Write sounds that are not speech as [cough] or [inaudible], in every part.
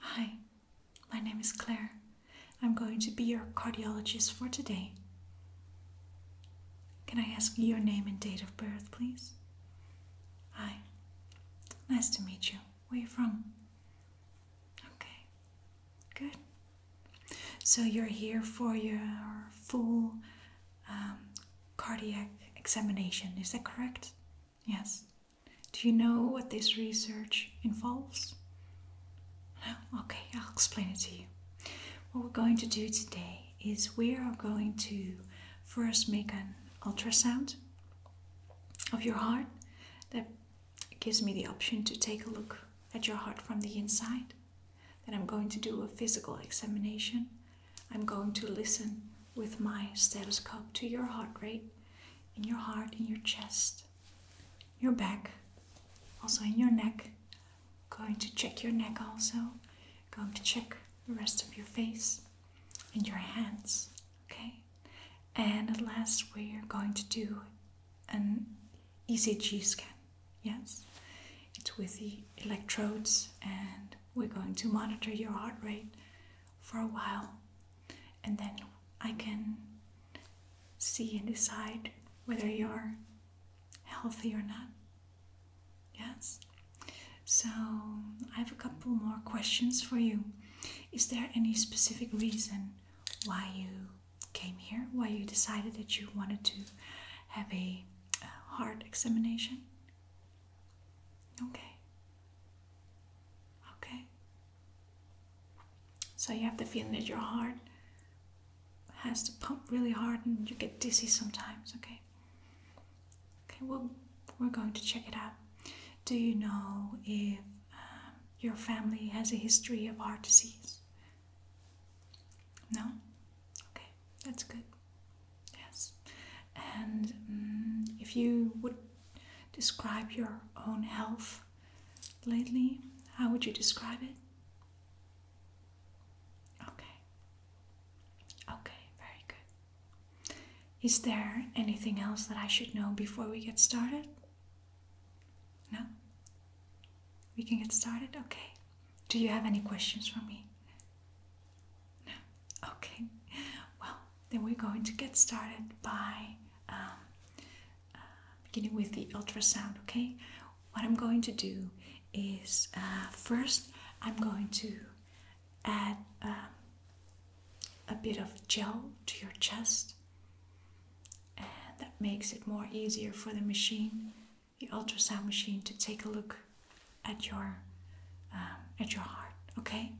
Hi, my name is Claire. I'm going to be your cardiologist for today. Can I ask your name and date of birth, please? Hi, nice to meet you. Where are you from? Okay, good. So you're here for your full um, cardiac examination, is that correct? Yes. Do you know what this research involves? No? Okay, I'll explain it to you. What we're going to do today is we are going to first make an ultrasound of your heart that gives me the option to take a look at your heart from the inside. Then I'm going to do a physical examination I'm going to listen with my stethoscope to your heart rate in your heart, in your chest, your back, also in your neck. Going to check your neck also. Going to check the rest of your face and your hands, okay? And at last, we're going to do an ECG scan, yes? It's with the electrodes, and we're going to monitor your heart rate for a while and then I can see and decide whether you're healthy or not. Yes? So, I have a couple more questions for you. Is there any specific reason why you came here? Why you decided that you wanted to have a, uh, heart examination? Okay. Okay. So you have the feeling that your heart has to pump really hard and you get dizzy sometimes, okay? Okay, well, we're going to check it out. Do you know if um, your family has a history of heart disease? No? Okay, that's good. Yes. And mm, if you would describe your own health lately, how would you describe it? Okay. Okay, very good. Is there anything else that I should know before we get started? No? We can get started? Okay. Do you have any questions for me? No. Okay. Well, then we're going to get started by um, uh, beginning with the ultrasound. Okay. What I'm going to do is uh, first I'm going to add um, a bit of gel to your chest, that makes it more easier for the machine, the ultrasound machine, to take a look at your um, at your heart okay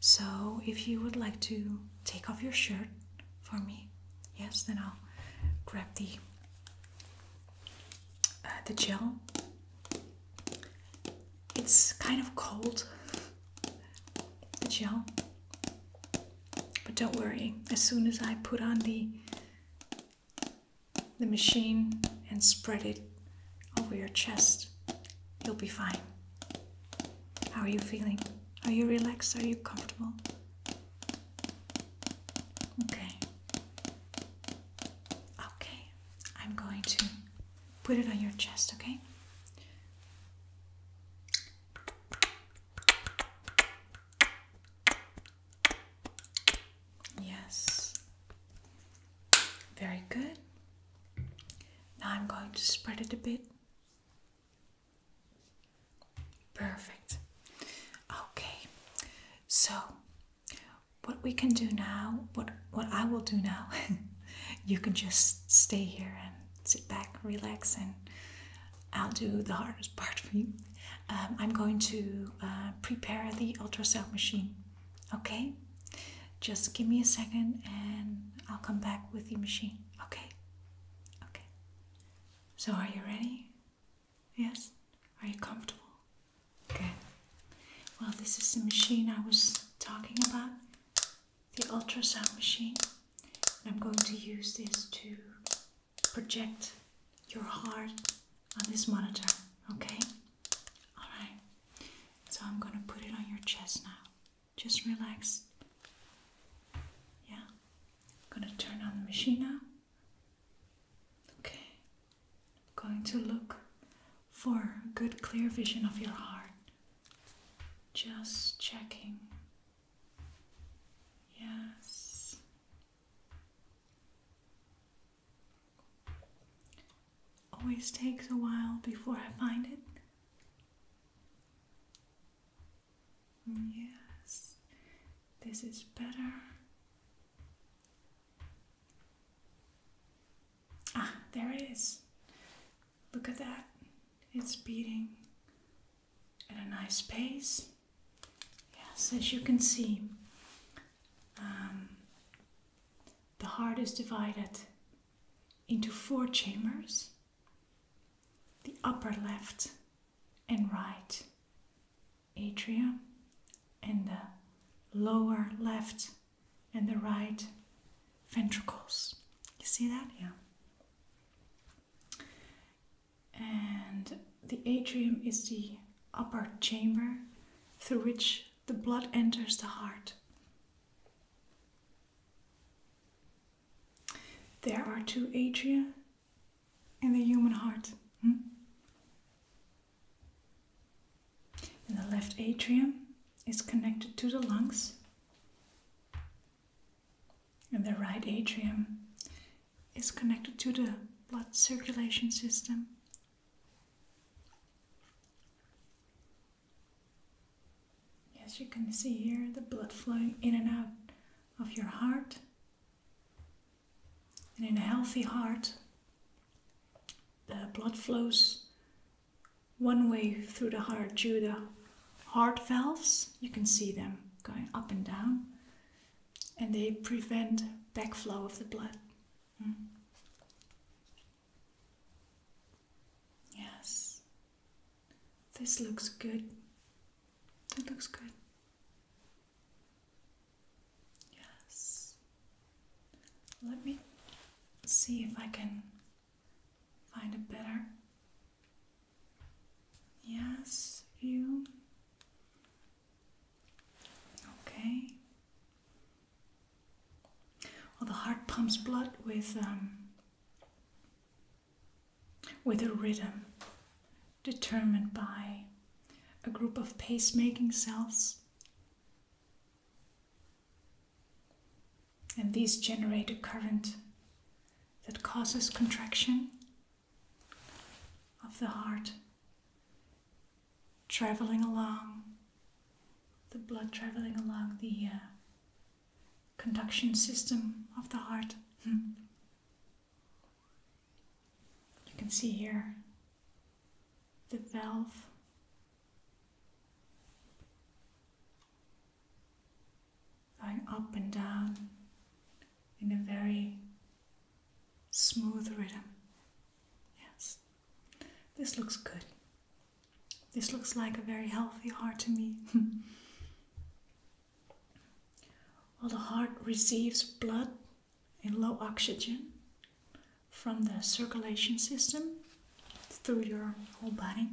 so if you would like to take off your shirt for me yes then I'll grab the uh, the gel it's kind of cold the gel but don't worry as soon as I put on the the machine and spread it over your chest. You'll be fine. How are you feeling? Are you relaxed? Are you comfortable? Okay. Okay. I'm going to put it on your chest, okay? Yes. Very good. Now I'm going to spread it a bit. Perfect. Okay. So what we can do now, what what I will do now, [laughs] you can just stay here and sit back, relax, and I'll do the hardest part for you. Um, I'm going to uh, prepare the ultrasound machine. Okay? Just give me a second and I'll come back with the machine. Okay? Okay. So, are you ready? Yes? Are you comfortable? Okay. Well, this is the machine I was talking about the ultrasound machine. And I'm going to use this to project your heart on this monitor, okay? Alright, so I'm gonna put it on your chest now. Just relax. Yeah, I'm gonna turn on the machine now. Okay, I'm going to look for a good clear vision of your heart. Just checking. Yes. Always takes a while before I find it. Yes, this is better. Ah, there it is. Look at that. It's beating at a nice pace. Yes, as you can see, um, the heart is divided into four chambers the upper left and right atria, and the lower left and the right ventricles. You see that? Yeah. And the atrium is the upper chamber through which the blood enters the heart. There are two atria in the human heart. Hmm? the left atrium is connected to the lungs, and the right atrium is connected to the blood circulation system as you can see here, the blood flowing in and out of your heart. And in a healthy heart, the blood flows one way through the heart through the heart valves. You can see them going up and down, and they prevent backflow of the blood. Mm. Yes, this looks good. It looks good. Yes. Let me see if I can find a better. Yes, view. Okay. Well, the heart pumps blood with um, with a rhythm determined by a group of pacemaking cells. And these generate a current that causes contraction of the heart traveling along, the blood traveling along the uh, conduction system of the heart. Hmm. you can see here the valve. Going up and down in a very smooth rhythm. Yes, this looks good. This looks like a very healthy heart to me. [laughs] well, the heart receives blood and low oxygen from the circulation system through your whole body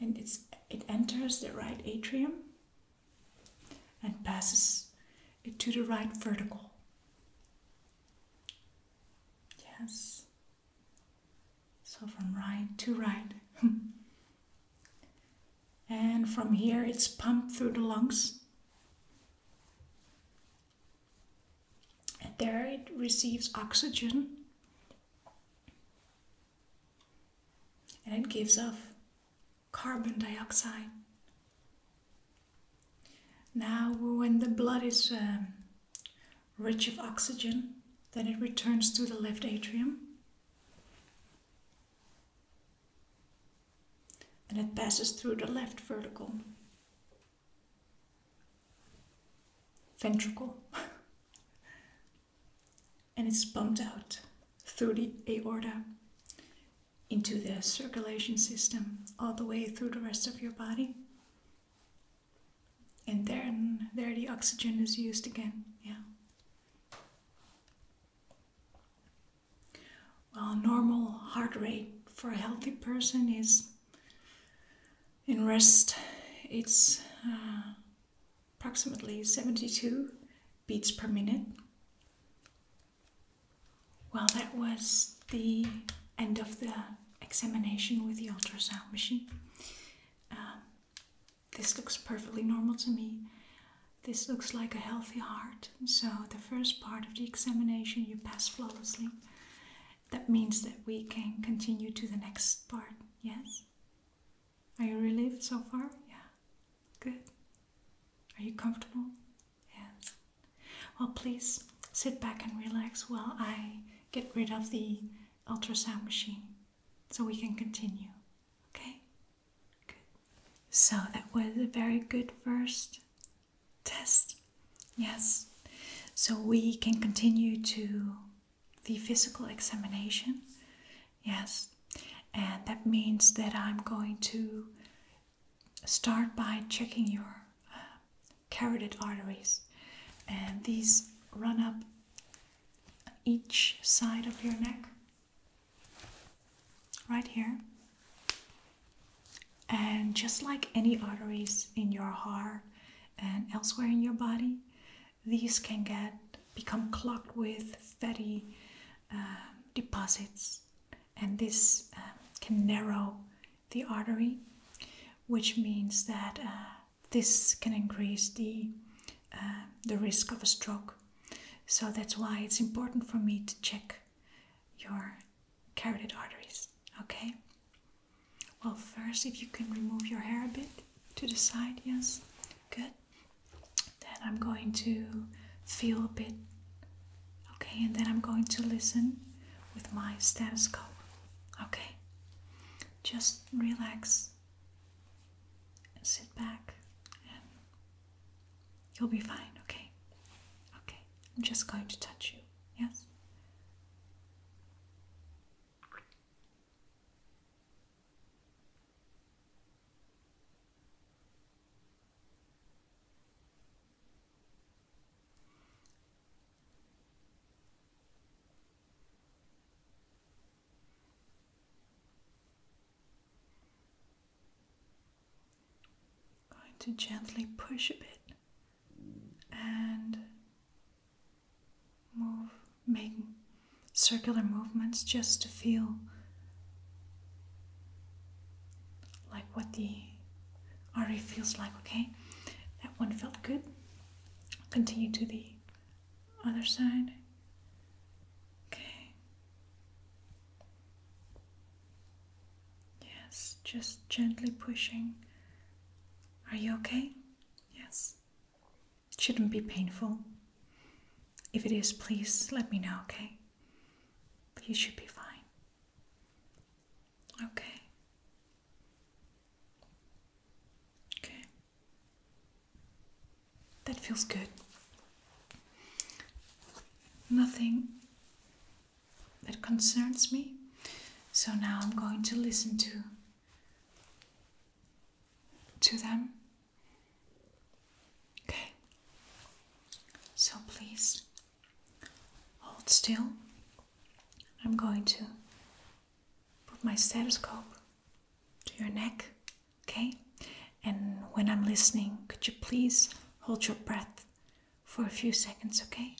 and it's it enters the right atrium and passes it to the right vertical. Yes. So from right to right. [laughs] and from here it's pumped through the lungs. And there it receives oxygen. And it gives off carbon dioxide. Now, when the blood is um, rich of oxygen, then it returns to the left atrium. And it passes through the left vertical ventricle. [laughs] and it's pumped out through the aorta into the circulation system all the way through the rest of your body. And then there the oxygen is used again. Yeah. Well, normal heart rate for a healthy person is in rest, it's uh, approximately 72 beats per minute. Well, that was the end of the examination with the ultrasound machine. Um, this looks perfectly normal to me. This looks like a healthy heart. So, the first part of the examination you pass flawlessly. That means that we can continue to the next part, yes? Are you relieved so far? Yeah. Good. Are you comfortable? Yes. Well, please sit back and relax while I get rid of the ultrasound machine so we can continue. Okay? Good. So that was a very good first test. Yes. So we can continue to the physical examination. Yes. And that means that I'm going to start by checking your uh, carotid arteries, and these run up each side of your neck, right here. And just like any arteries in your heart and elsewhere in your body, these can get become clogged with fatty uh, deposits and this um, can narrow the artery, which means that uh, this can increase the uh, the risk of a stroke. So that's why it's important for me to check your carotid arteries. Okay. Well, first, if you can remove your hair a bit to the side, yes, good. Then I'm going to feel a bit. Okay, and then I'm going to listen with my stethoscope. Okay, just relax and sit back, and you'll be fine. Okay, okay, I'm just going to touch you. Yes. Going to gently push a bit and move, make circular movements just to feel like what the RA feels like, okay? That one felt good. Continue to the other side. Okay. Yes, just gently pushing. Are you okay? Yes. It shouldn't be painful. If it is, please let me know, okay? you should be fine. Okay. Okay. That feels good. Nothing that concerns me. So now I'm going to listen to to them. Okay, so please hold still. I'm going to put my stethoscope to your neck, okay? And when I'm listening, could you please hold your breath for a few seconds, okay?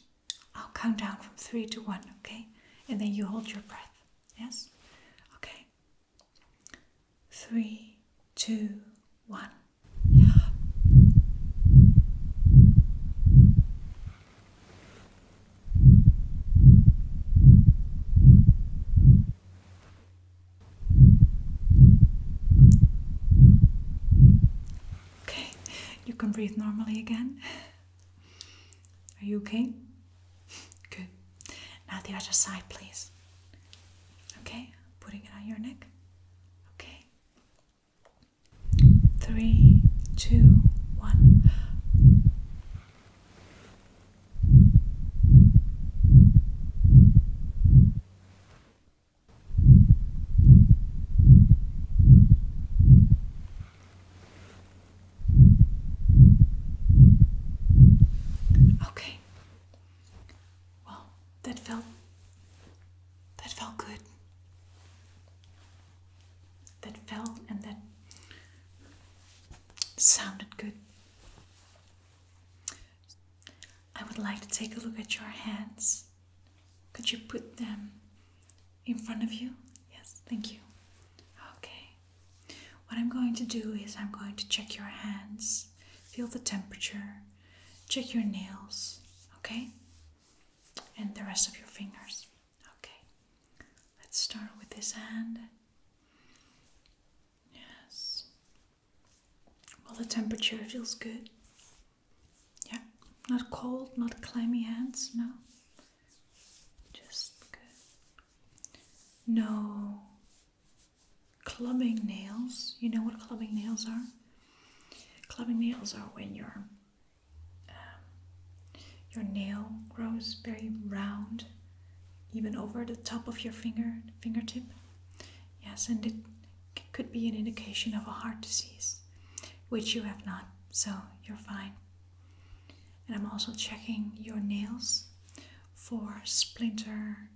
I'll count down from three to one, okay? And then you hold your breath, yes? Okay, three, two, one. Yeah. Okay, you can breathe normally again. Are you okay? Good. Now the other side, please. Okay putting it on your neck. Okay. Three, two, one. Okay. Well, that felt that felt good. That felt and that sounded good. I would like to take a look at your hands. Could you put them in front of you? Yes, thank you. Okay. What I'm going to do is I'm going to check your hands feel the temperature, check your nails, okay? And the rest of your fingers. Okay, let's start with this hand. Yes. Well, the temperature feels good. Yeah, not cold, not clammy hands, no. Just good. No clubbing nails. You know what clubbing nails are? Clubbing nails are when your um, your nail grows very round, even over the top of your finger fingertip. Yes, and it could be an indication of a heart disease, which you have not, so you're fine. And I'm also checking your nails for splinter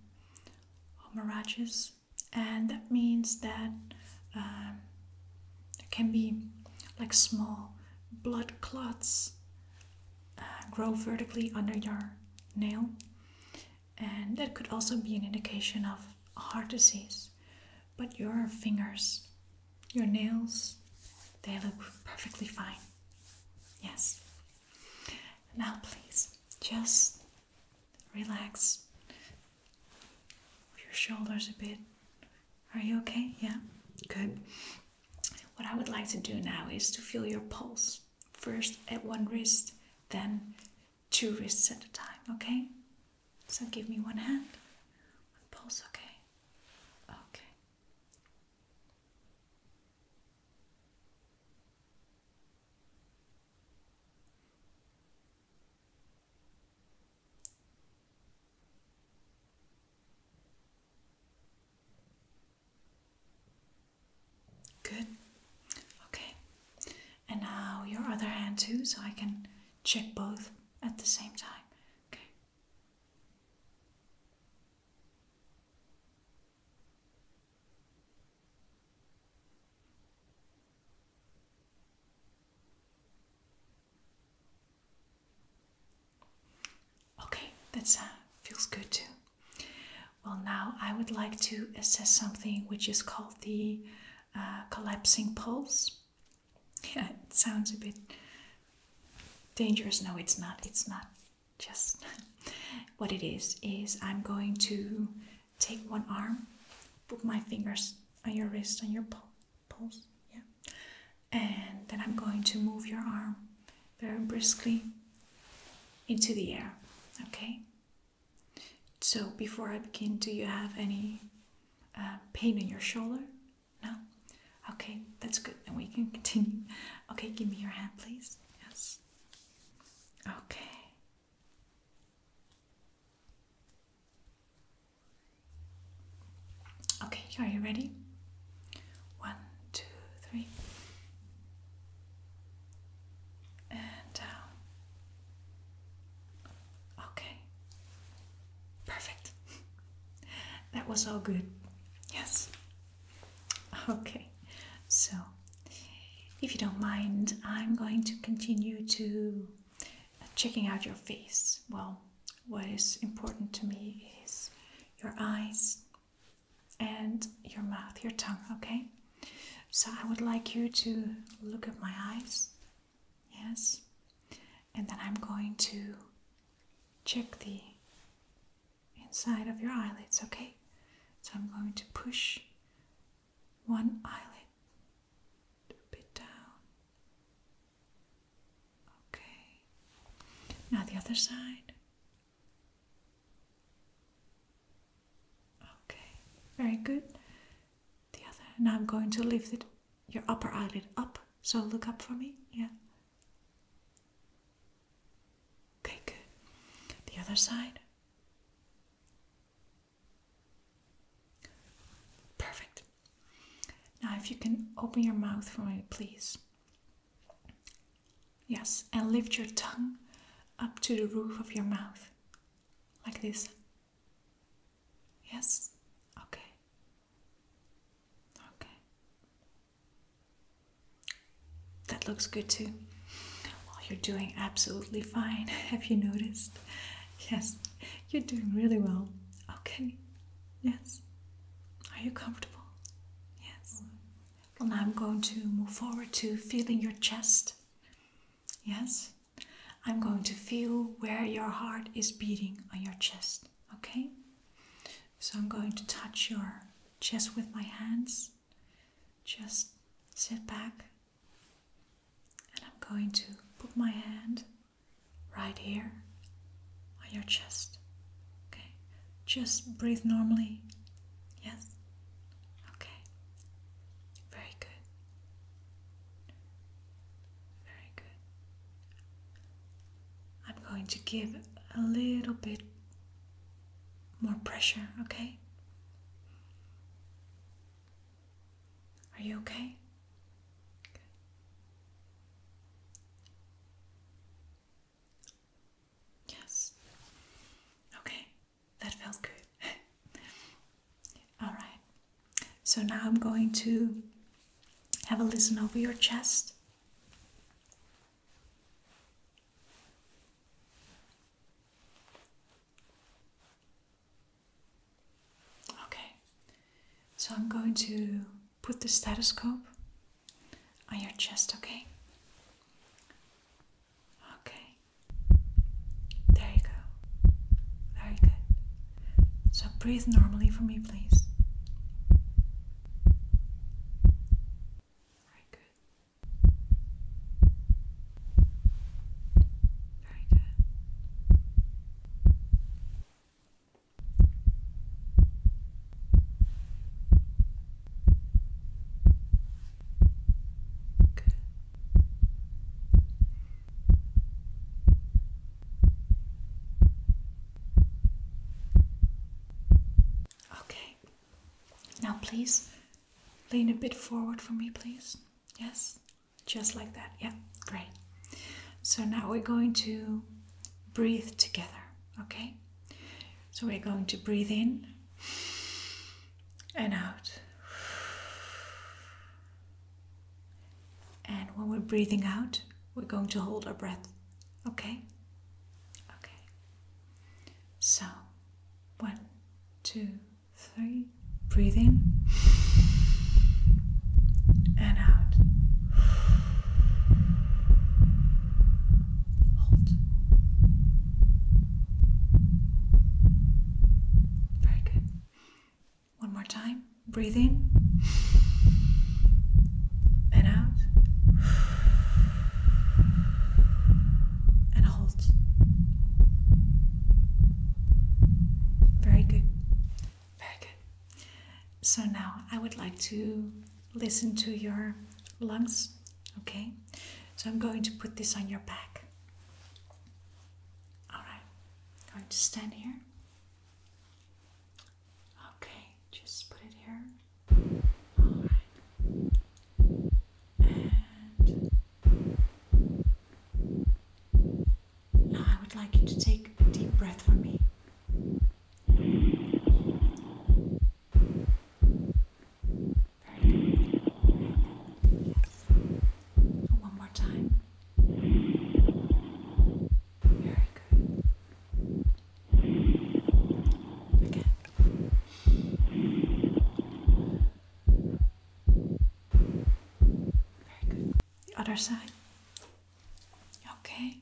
or mirages, and that means that um, can be like small blood clots uh, grow vertically under your nail, and that could also be an indication of heart disease. But your fingers, your nails, they look perfectly fine. Yes. Now, please just relax your shoulders a bit. Are you okay? Yeah? Good. What I would like to do now is to feel your pulse first at one wrist, then two wrists at a time, okay? So give me one hand, one pulse, okay? Okay. Good. Okay. And now your other hand too, so I can check both at the same time. Okay. Okay, that uh, feels good too. Well, now I would like to assess something which is called the uh, collapsing pulse. [laughs] Yeah, it sounds a bit dangerous. No, it's not. It's not just [laughs] what it is is I'm going to take one arm, put my fingers on your wrist, on your pulse, yeah, and then I'm going to move your arm very briskly into the air, okay? So before I begin, do you have any uh, pain in your shoulder? No? Okay, that's good. And we can continue. [laughs] Okay, give me your hand, please. Yes. Okay. Okay, are you ready? One, two, three. And Okay. Perfect. [laughs] that was all good. Yes. Okay, so if you don't mind, I'm going to continue to uh, checking out your face. Well, what is important to me is your eyes and your mouth, your tongue, okay? So I would like you to look at my eyes, yes? And then I'm going to check the inside of your eyelids, okay? So I'm going to push one eyelid a bit down. Okay. Now the other side. Okay, very good. The other. Now I'm going to lift it, your upper eyelid up. So look up for me. Yeah. Okay, good. The other side. Perfect. Now, if you can open your mouth for me, please. Yes, and lift your tongue up to the roof of your mouth, like this. Yes, okay, okay, that looks good too. Well, oh, you're doing absolutely fine. [laughs] Have you noticed? Yes, you're doing really well. Okay, yes. Are you comfortable? Yes. Well, now I'm going to move forward to feeling your chest. Yes. I'm going to feel where your heart is beating on your chest. Okay? So I'm going to touch your chest with my hands just sit back and I'm going to put my hand right here on your chest. Okay, just breathe normally. Yes, okay, very good. Very good. I'm going to give a little bit more pressure, okay? Are you okay? Yes. Okay, that felt good. [laughs] All right. So now I'm going to have a listen over your chest. Okay, so I'm going to put the stethoscope on your chest, okay? Okay, there you go. Very good. So breathe normally for me, please. Very good. Very good. Good. Okay, now, please lean a bit forward for me, please. Yes, just like that. Yeah, great. So now we're going to breathe together, okay? So we're going to breathe in and out. And when we're breathing out, we're going to hold our breath, okay? Okay. So, one, two, three. Breathe in and out. Hold. Very good. One more time. Breathe in and out and hold. Very good. Very good. So now I would like to listen to your lungs, okay? So I'm going to put this on your back. All going to stand here. Okay, just put it here. Alright. And now I would like you to take a deep breath for me. Very good. Yes. One more time. Very good. Okay. Very good. Other side. Okay.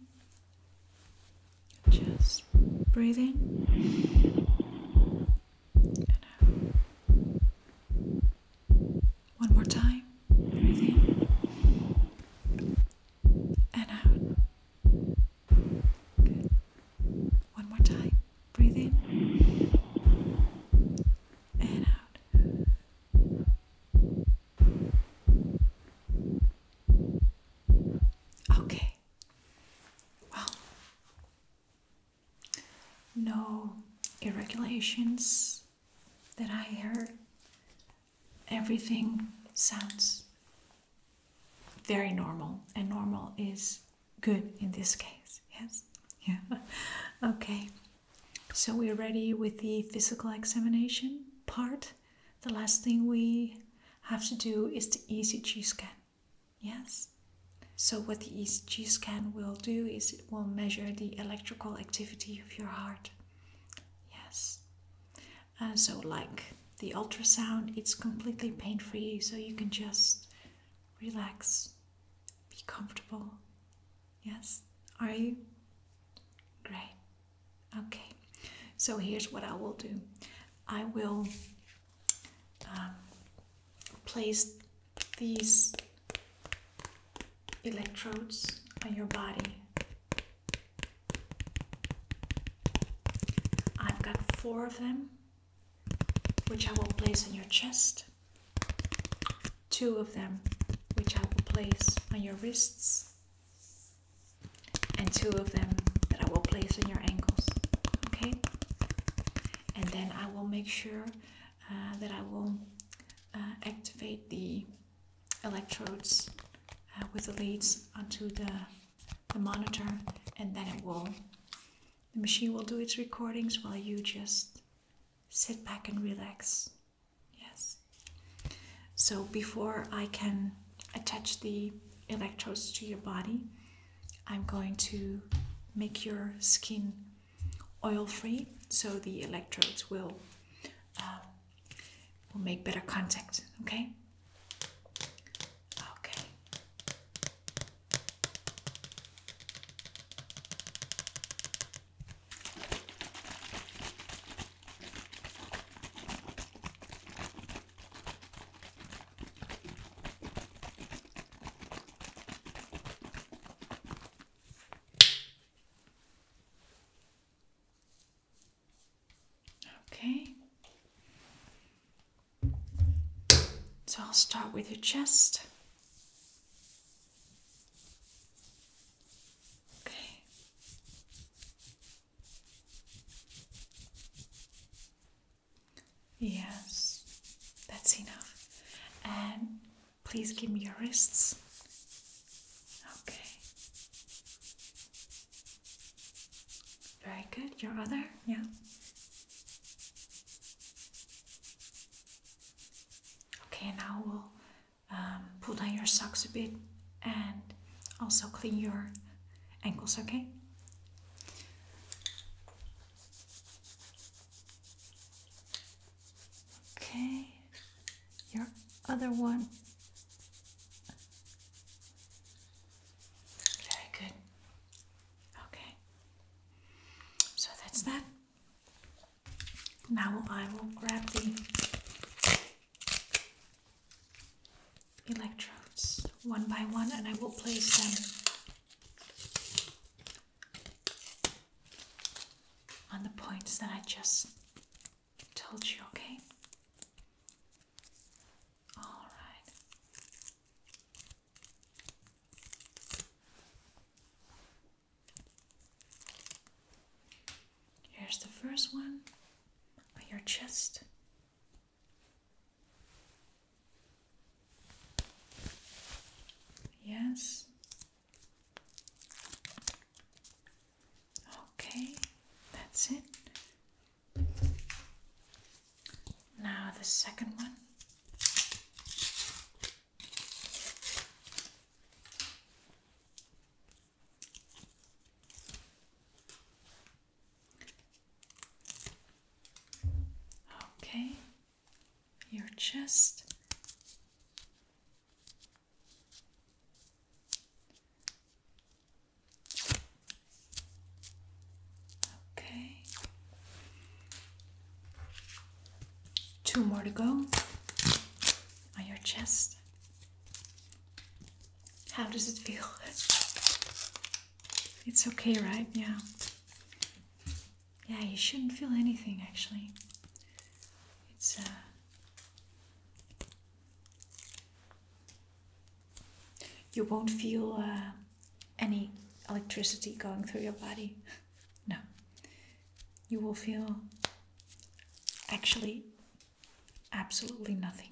Just breathing. Uh, one more time. Breathe and uh, out. One more time. Breathe in and out. Okay. Well, no irregularities that I heard everything sounds very normal, and normal is good in this case. Yes? Yeah. [laughs] okay. So we're ready with the physical examination part. The last thing we have to do is the ECG scan. Yes? So, what the ECG scan will do is it will measure the electrical activity of your heart. Yes. Uh, so like the ultrasound it's completely pain free so you can just relax be comfortable yes are you great okay so here's what i will do i will um, place these electrodes on your body I've got four of them, which I will place on your chest, two of them, which I will place on your wrists, and two of them that I will place on your ankles. Okay? And then I will make sure uh, that I will uh, activate the electrodes uh, with the leads onto the, the monitor and then it will the machine will do its recordings while you just sit back and relax yes so before i can attach the electrodes to your body i'm going to make your skin oil free so the electrodes will uh, we'll make better contact. Okay. Okay. Okay. So I'll start with your chest. Okay. Yes, that's enough. And please give me your wrists. Okay. Very good. Your other? Yeah. Okay, now we'll um, pull down your socks a bit and also clean your ankles, okay? Okay, your other one. Very good. Okay. So that's that. Now I will grab the electrodes one by one and I will place them on the points that I just told you, okay? All right. Here's the first one on your chest. Yes. Okay, that's it. Now the second one. Okay, your chest. Okay. Two more to go on your chest. How does it feel? It's okay, right? Yeah. Yeah, you shouldn't feel anything actually. It's uh you won't feel uh, any electricity going through your body. No. You will feel actually absolutely nothing.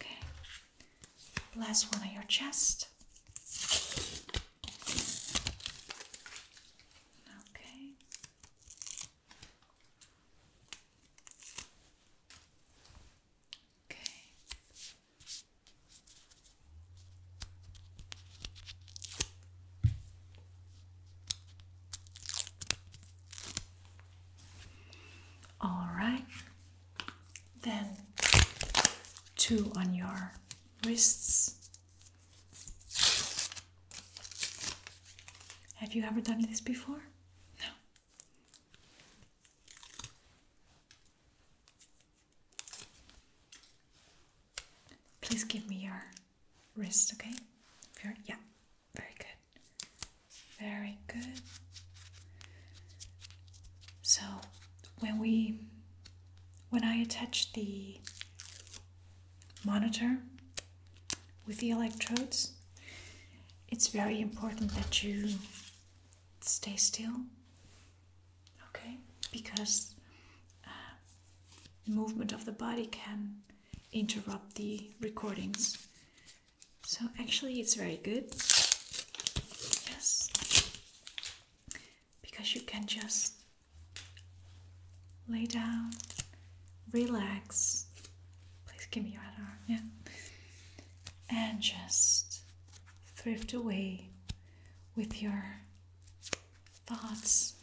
Okay. Last one on your chest. Okay. Okay. All right. Then two on your wrists have you ever done this before? No. Please give me your wrist, okay? Your, yeah, very good. Very good. So when we when I attach the monitor with the electrodes, it's very important that you stay still, okay? Because uh, movement of the body can interrupt the recordings. So actually, it's very good. Yes, because you can just Lay down, relax. Please give me your hand arm, yeah. And just drift away with your thoughts.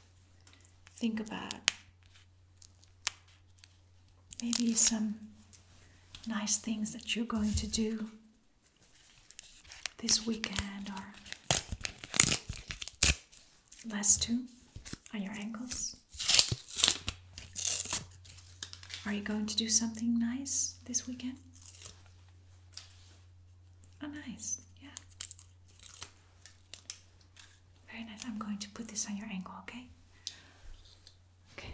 Think about maybe some nice things that you're going to do this weekend or Last two are your ankles. Are you going to do something nice this weekend? Oh, nice. Yeah. Very nice. I'm going to put this on your ankle, okay? Okay.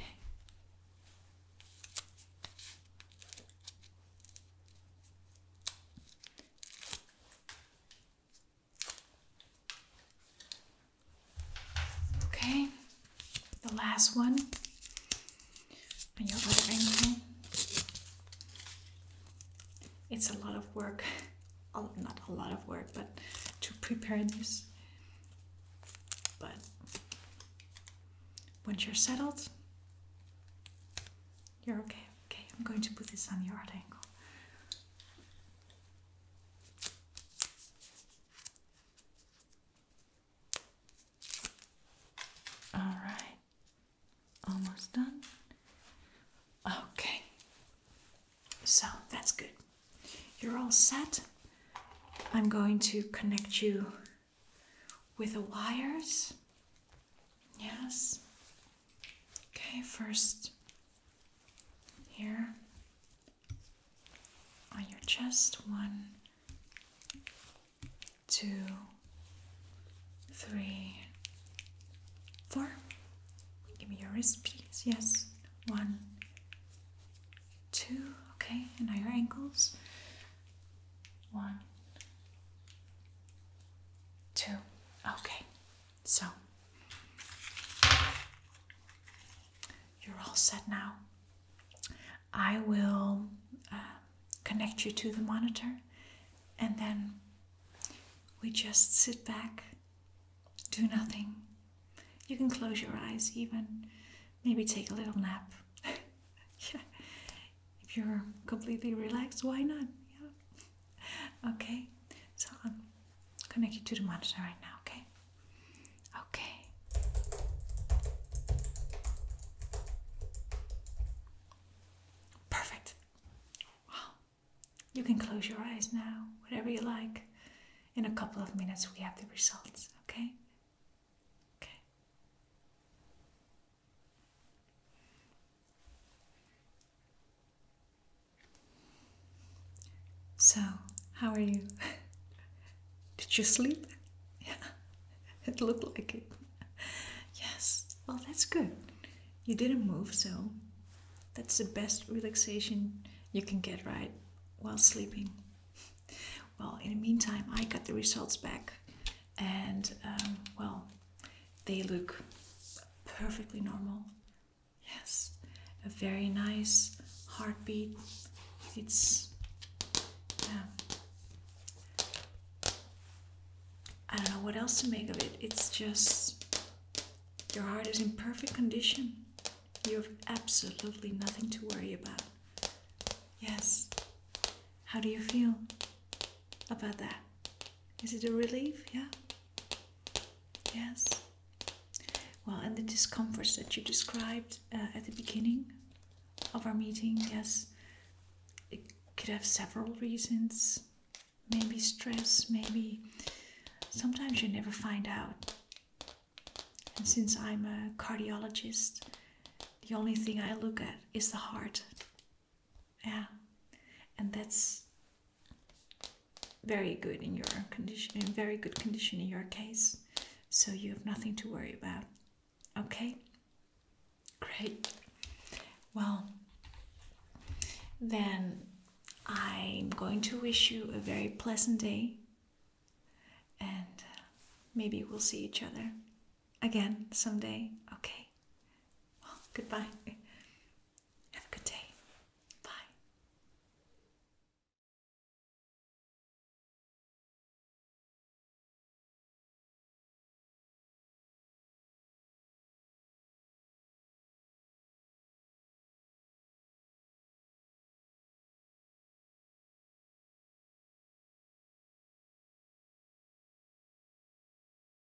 Okay, the last one on your other ankle. It's a lot of work, [laughs] oh, not a lot of work, but to prepare this. But once you're settled, you're okay. Okay, I'm going to put this on your other ankle. All right, almost done. Okay, so that's good. You're all set. I'm going to connect you with the wires. Yes. Okay, first here on your chest. One, two, three, four. Give me your wrist, please. Yes, one, two. Okay, and now your ankles. One, two. Okay, so, you're all set now. I will uh, connect you to the monitor and then we just sit back, do nothing. You can close your eyes, even maybe take a little nap. [laughs] yeah. If you're completely relaxed, why not? Yeah okay, so I'm connect to the monitor right now, okay? Okay. Perfect. Wow. You can close your eyes now, whatever you like. In a couple of minutes, we have the results, okay? Okay. So, how are you? [laughs] Did you sleep? [laughs] it looked like it. Yes, well, that's good. You didn't move, so that's the best relaxation you can get, right? While sleeping. [laughs] Well, in the meantime, I got the results back, and um, well, they look perfectly normal. Yes, a very nice heartbeat. It's. I don't know what else to make of it. It's just. Your heart is in perfect condition. You have absolutely nothing to worry about. Yes. How do you feel about that? Is it a relief? Yeah. Yes. Well, and the discomforts that you described uh, at the beginning of our meeting, yes, it could have several reasons. Maybe stress, maybe sometimes you never find out. And since I'm a cardiologist, the only thing I look at is the heart. Yeah. And that's very good in your condition in very good condition in your case so you have nothing to worry about okay great well then i'm going to wish you a very pleasant day and maybe we'll see each other again someday okay well goodbye have a good day. Bye.